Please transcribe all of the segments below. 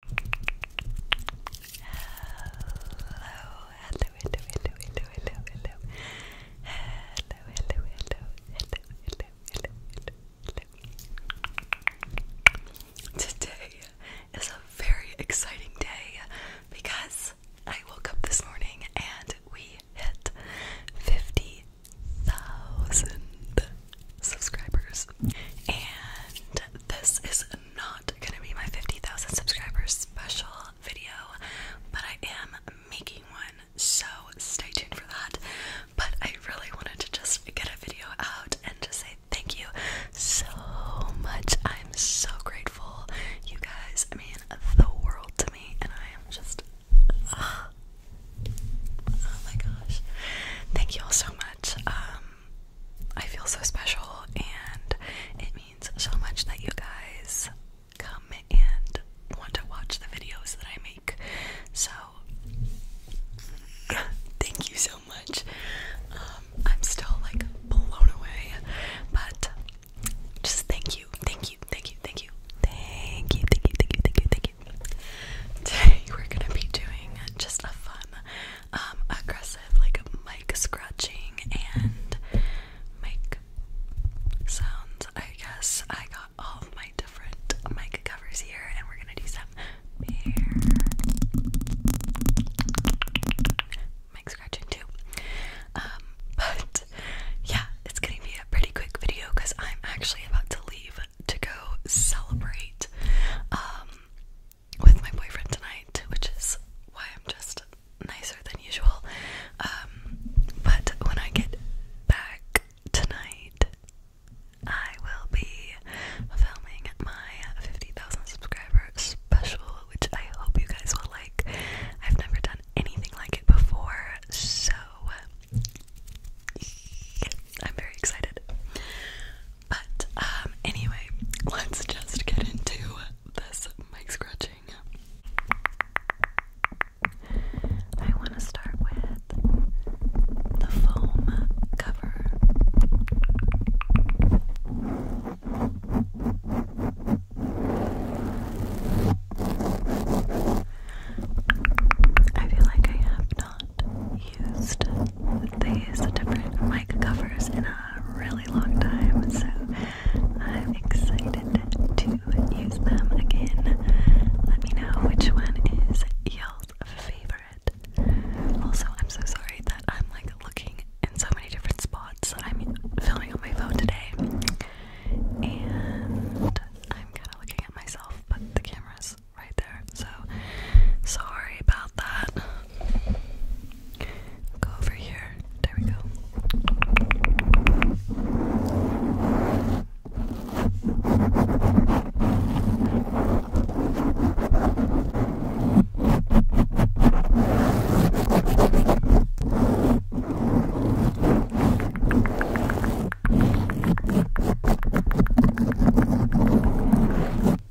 hello, hello, hello, hello, hello, hello, hello, hello, hello, hello, hello, hello. Today is a very exciting day because I woke up this morning and we hit fifty thousand subscribers, and this is not gonna be my 50,000 subscribers special video, but I am making one, so stay tuned for that. But I really wanted to just get a video out and just say thank you so much. I'm so grateful. You guys I mean the world to me, and I am just. Ah, oh my gosh. Thank you all so much. Um, I feel so special, and it means so much that you guys come and want to watch the videos that I make. So, thank you so much. Um, I'm still like blown away, but just thank you, thank you, thank you, thank you, thank you, thank you, thank you, thank you, thank you. Today, we're gonna be doing just a fun um, aggressive, like mic scratching and mic sounds. I guess I got all my different mic covers here, and we're gonna do some bear mic scratching too. Um, but yeah, it's gonna be a pretty quick video because I'm actually about to leave to go celebrate. Um, with my boyfriend tonight, which is why I'm just nicer than usual. Um, but when I get back tonight, I will be filming my 50,000 subscriber special, which I hope you guys will like. I've never done anything like it before, so I'm very excited. But um anyway, let's just get into this mic scratching. I want to start with the foam cover. I feel like I have not used these different mic covers in a really long time, so I'm excited to use them again. Let me know which one is you favorite. Also, I'm so sorry that I'm like looking in so many different spots. I'm filming on my phone today, and I'm kind of looking at myself, but the camera's right there, so sorry about about that. Go over here. There we go.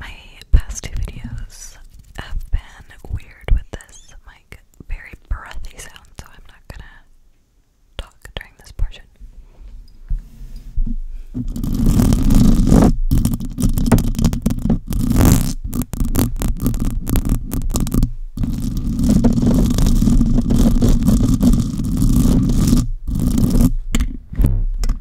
My past two videos have been weird with this like very breathy sound, so I'm not gonna talk during this portion.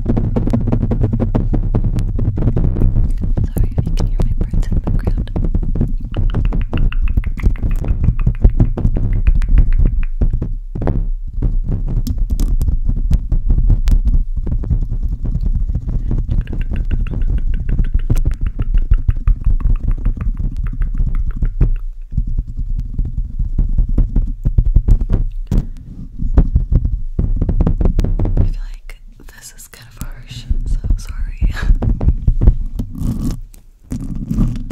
Sorry if you can hear my birds in the background. I feel like this is kind of harsh, so sorry.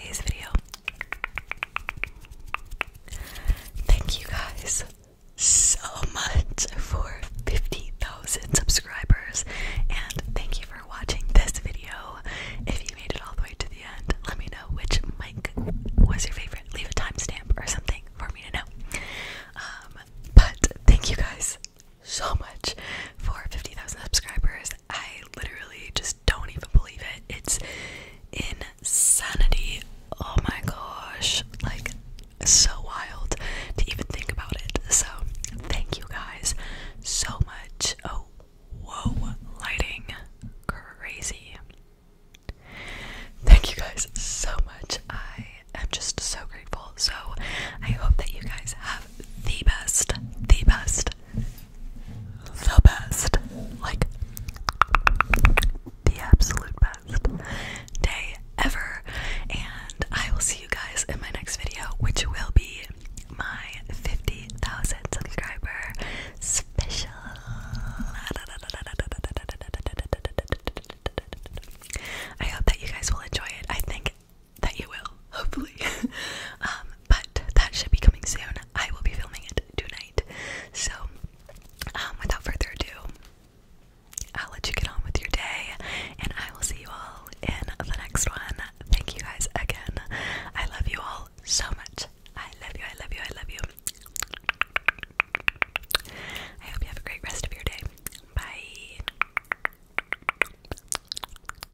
today's video. Thank you guys so much for 50,000 subscribers, and thank you for watching this video. If you made it all the way to the end, let me know which mic was your favorite. Leave a timestamp or something for me to know. Um, but thank you guys so much for 50,000 subscribers. I literally just don't even believe it. It's insanity. Oh my gosh. Like, so wild to even think about it. So, thank you guys so much. Oh, whoa, lighting. Crazy. Thank you guys so much. I am just so grateful. So, I hope that you guys have the best, the best, the best. Like, the absolute best day ever. And I will see you guys in my next video, which will be my 50,000 subscriber special. I hope that you guys will enjoy it. I think that you will, hopefully. Um, but that should be coming soon. I will be filming it tonight. So, um, without further ado, I'll let you get on with your day, and I will see you all in the next one. Thank you guys again. I love you all so much. I love you, I love you, I love you. I hope you have a great rest of your day. Bye.